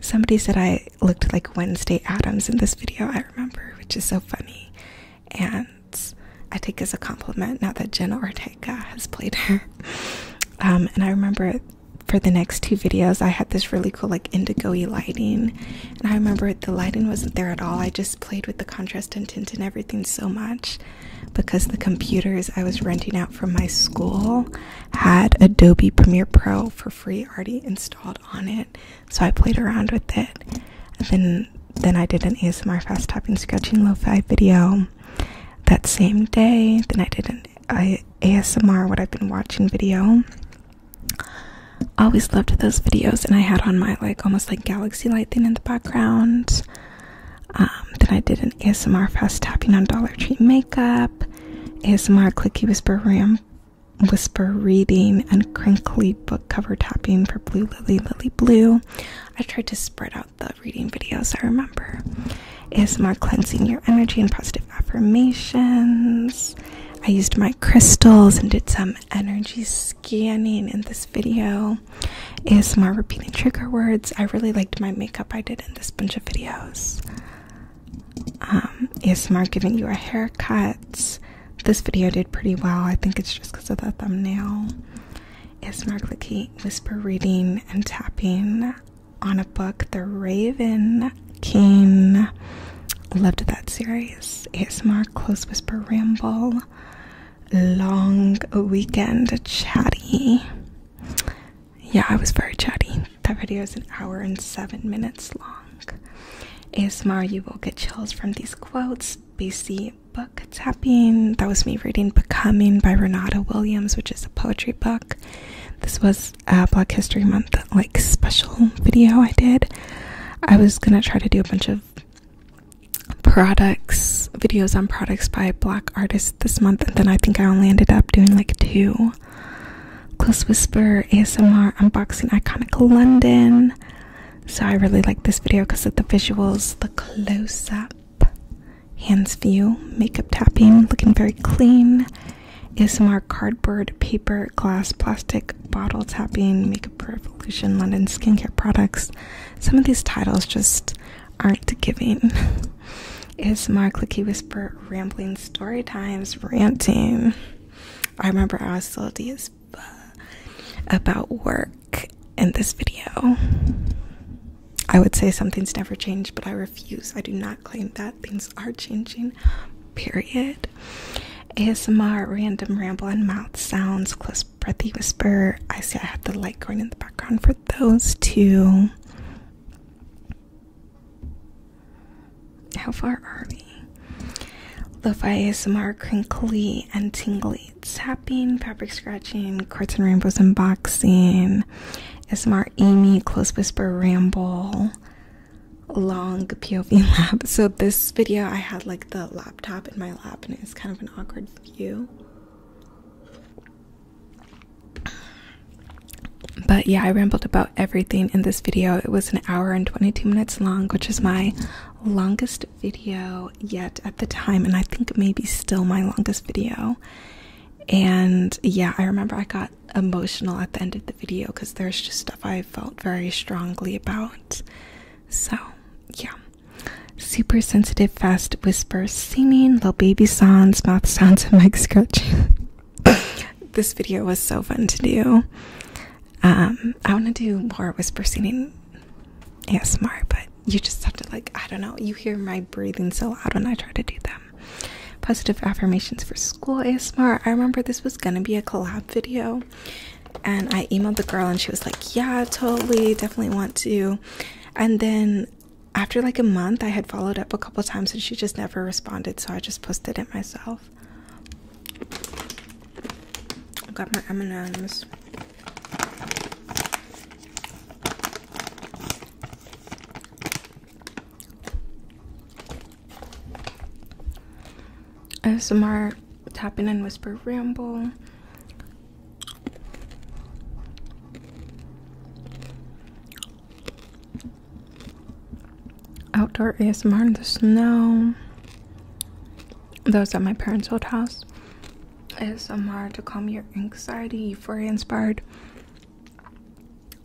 Somebody said I looked like Wednesday Adams in this video, I remember, which is so funny. And I take as a compliment now that Jenna Ortega has played her. Um, and I remember for the next two videos, I had this really cool, like, indigo lighting. And I remember the lighting wasn't there at all. I just played with the contrast and tint and everything so much because the computers I was renting out from my school had Adobe Premiere Pro for free already installed on it. So I played around with it. And then then I did an ASMR fast tapping scratching lo-fi video that same day. Then I did an ASMR what I've been watching video. Always loved those videos and I had on my like almost like galaxy light thing in the background. Um, then I did an ASMR fast tapping on Dollar Tree makeup, ASMR clicky whisper ram, whisper reading, and crinkly book cover tapping for Blue Lily Lily Blue. I tried to spread out the reading videos. I remember ASMR cleansing your energy and positive affirmations. I used my crystals and did some energy scanning in this video channel is my repeating trigger words. I really liked my makeup I did in this bunch of videos. Um, ASMR giving you a haircut. This video did pretty well. I think it's just because of the thumbnail. ASMR clicky whisper reading and tapping on a book. The Raven King. Loved that series. ASMR close whisper ramble long weekend chatty. Yeah, I was very chatty. That video is an hour and seven minutes long. ASMR, you will get chills from these quotes. BC book tapping. That was me reading Becoming by Renata Williams, which is a poetry book. This was a Black History Month like special video I did. I was gonna try to do a bunch of products videos on products by black artists this month and then i think i only ended up doing like two close whisper asmr unboxing iconic london so i really like this video because of the visuals the close-up hands view makeup tapping looking very clean asmr cardboard paper glass plastic bottle tapping makeup revolution london skincare products some of these titles just aren't giving is my clicky whisper rambling story times ranting. I remember I was salty as about work in this video. I would say something's never changed, but I refuse. I do not claim that things are changing. Period. ASMR random ramble and mouth sounds close breathy whisper. I see I had the light going in the background for those two. How far are we? Lo-fi ASMR, crinkly and tingly zapping, fabric scratching, cards and rainbows unboxing, ASMR Amy, close whisper ramble, long POV lab. So this video I had like the laptop in my lap and it's kind of an awkward view. But yeah, I rambled about everything in this video. It was an hour and 22 minutes long, which is my longest video yet at the time, and I think maybe still my longest video. And yeah, I remember I got emotional at the end of the video because there's just stuff I felt very strongly about. So, yeah. Super sensitive, fast whisper, singing, little baby sounds, mouth sounds, and mic scratching. this video was so fun to do. Um, I want to do more whisper singing smart. but you just have to, like, I don't know, you hear my breathing so loud when I try to do them. Positive affirmations for school smart. I remember this was gonna be a collab video, and I emailed the girl, and she was like, Yeah, totally, definitely want to and then after like a month i had followed up a couple times and she just never responded so i just posted it myself i got my m&ms asmr tapping and whisper ramble Outdoor ASMR in the snow. Those at my parents' old house. ASMR to calm your anxiety, euphoria inspired.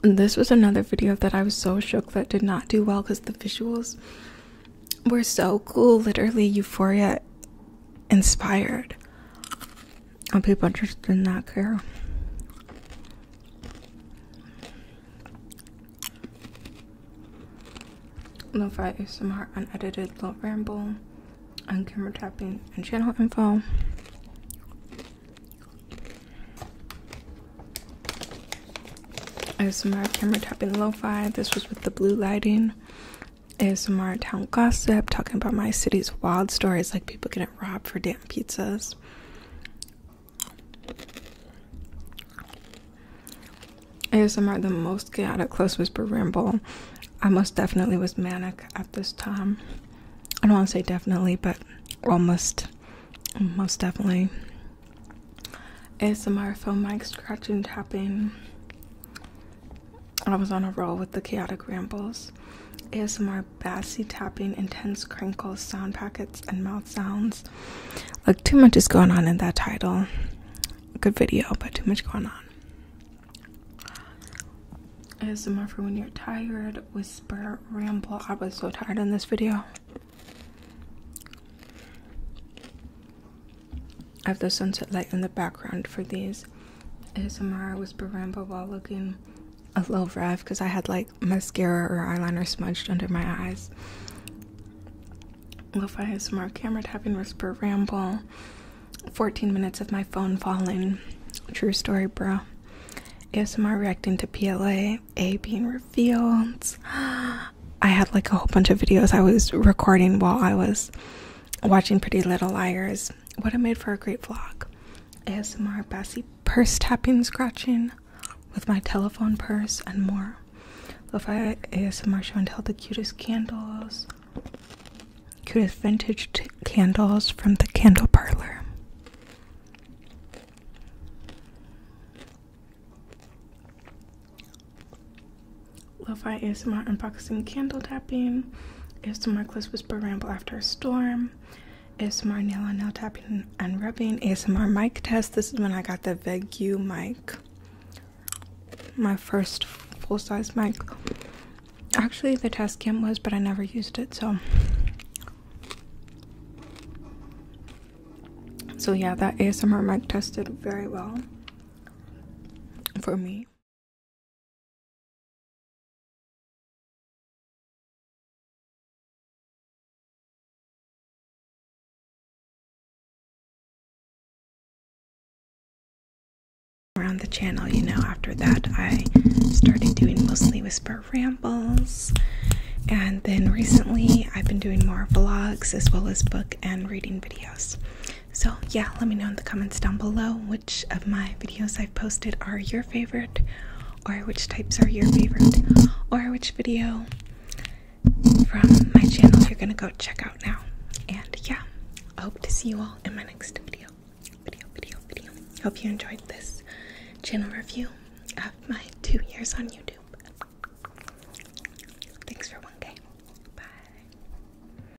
this was another video that I was so shook that did not do well because the visuals were so cool. Literally, euphoria inspired. And people just did not care. Lo-fi is ASMR unedited low ramble on camera tapping and channel info. ASMR camera tapping lo-fi. This was with the blue lighting. ASMR town gossip, talking about my city's wild stories, like people getting robbed for damn pizzas. ASMR, the most chaotic close whisper ramble. I most definitely was manic at this time. I don't want to say definitely, but almost, most definitely. ASMR phone mic scratching, tapping. I was on a roll with the chaotic rambles. ASMR bassy tapping, intense crinkles, sound packets, and mouth sounds. Like too much is going on in that title. Good video, but too much going on. ASMR for when you're tired, whisper, ramble. I was so tired in this video. I have the sunset light in the background for these ASMR. I was Rambo while looking a little rev because I had like mascara or eyeliner smudged under my eyes. Lo-fi ASMR camera tapping whisper ramble. 14 minutes of my phone falling. True story, bro. ASMR reacting to PLA A being revealed. I had like a whole bunch of videos I was recording while I was watching Pretty Little Liars what I made for a great vlog ASMR Bassy purse tapping, scratching with my telephone purse, and more. Lo-fi ASMR show and tell the cutest candles, cutest vintage candles from the candle parlor. Lo-fi ASMR unboxing candle tapping, ASMR Gliss Whisper Ramble After a Storm, ASMR nail on nail tapping and rubbing, ASMR mic test. This is when I got the Vegu mic, my first full size mic. Actually, the test cam was, but I never used it, so. So, yeah, that ASMR mic tested very well for me around the channel, you know, after that I started doing mostly whisper rambles. And then recently I've been doing more vlogs as well as book and reading videos. So, yeah, let me know in the comments down below which of my videos I've posted are your favorite, or which types are your favorite, or which video from my channel you're gonna go check out now. And yeah, I hope to see you all in my next video. Video, video, video. Hope you enjoyed this channel review of my two years on YouTube. Thanks for 1K. Bye.